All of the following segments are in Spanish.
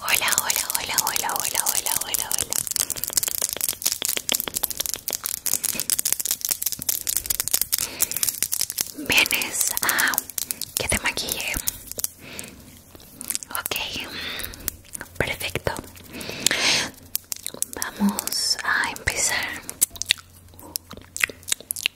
Hola, hola, hola, hola, hola, hola, hola, hola. ¿Vienes a que te maquille? Ok, perfecto. Vamos a empezar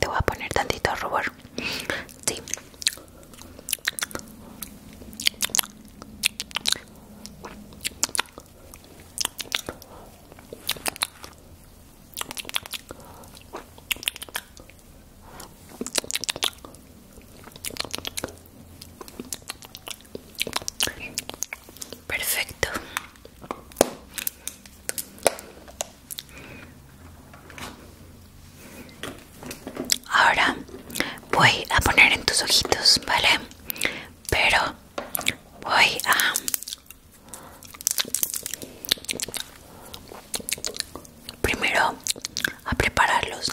Te voy a poner tantito rubor. Sí. Perfecto. Ahora voy a poner en tus ojitos, ¿vale? Pero voy a... Primero a prepararlos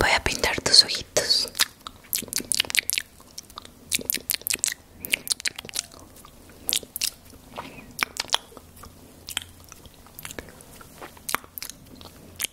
Voy a pintar tus ojitos.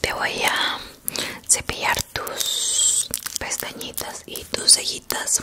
Te voy a cepillar tus pestañitas y tus cejitas.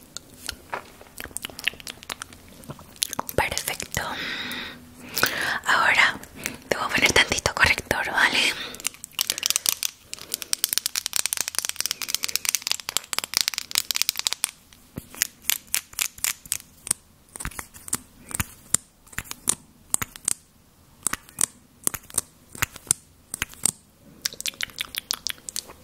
Perfecto. Ahora te voy poner tantito corrector, ¿vale?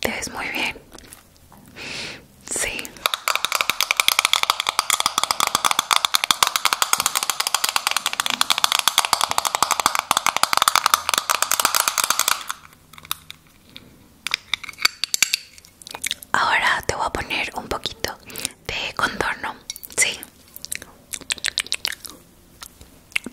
Te ves muy bien. Sí. Ahora te voy a poner un poquito de contorno, ¿sí?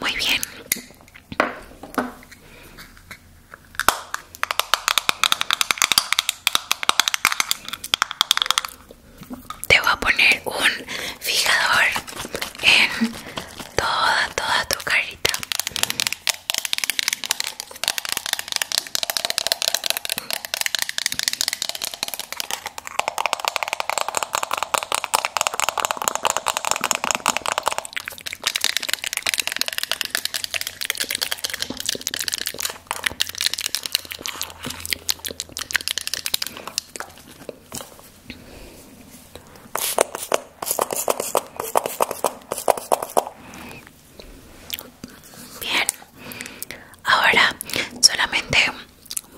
Muy bien. Te voy a poner un fijador en toda, toda tu carita. Bien, ahora solamente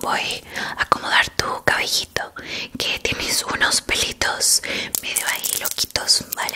voy a acomodar tu cabellito que tienes unos pelitos medio ahí loquitos, ¿vale?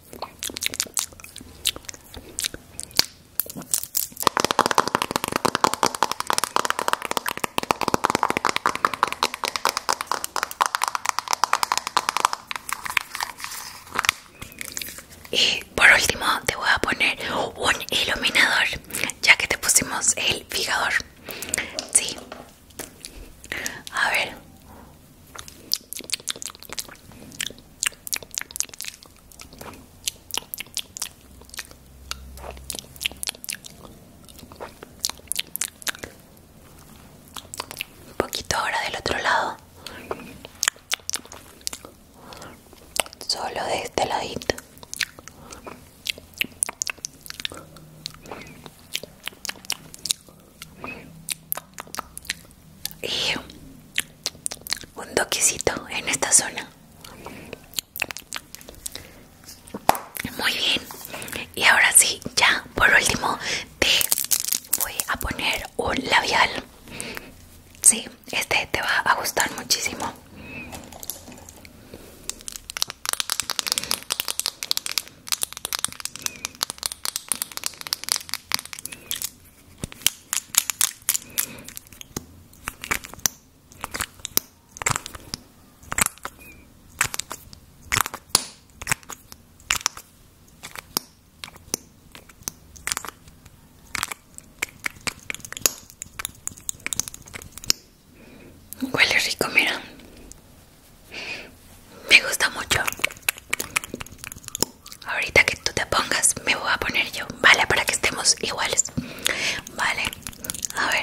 Y por último te voy a poner un iluminador, ya que te pusimos el fijador. Sí. A ver. Un poquito ahora del otro lado. Solo de este ladito y un toquecito en esta zona muy bien y ahora sí ya por último te voy a poner un labial sí este te va a gustar muchísimo Huele rico, mira. Me gusta mucho. Ahorita que tú te pongas, me voy a poner yo, ¿vale? Para que estemos iguales. Vale, a ver.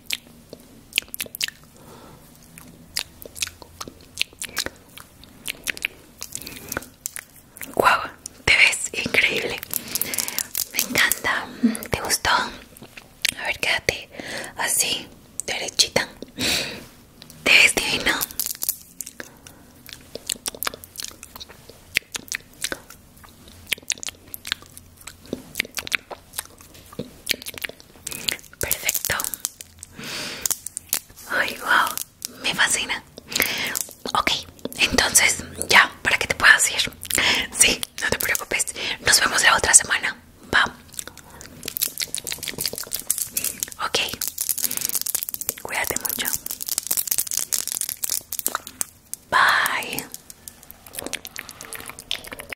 Wow, te ves increíble. Me encanta. ¿Te gustó? A ver, quédate así, derechita. Te ves divino. Perfecto. Ay, wow, me fascina. Ok, entonces ya, para que te puedas ir. Sí, no te preocupes. Nos vemos la otra semana. Va. Ok, cuídate mucho. Bye.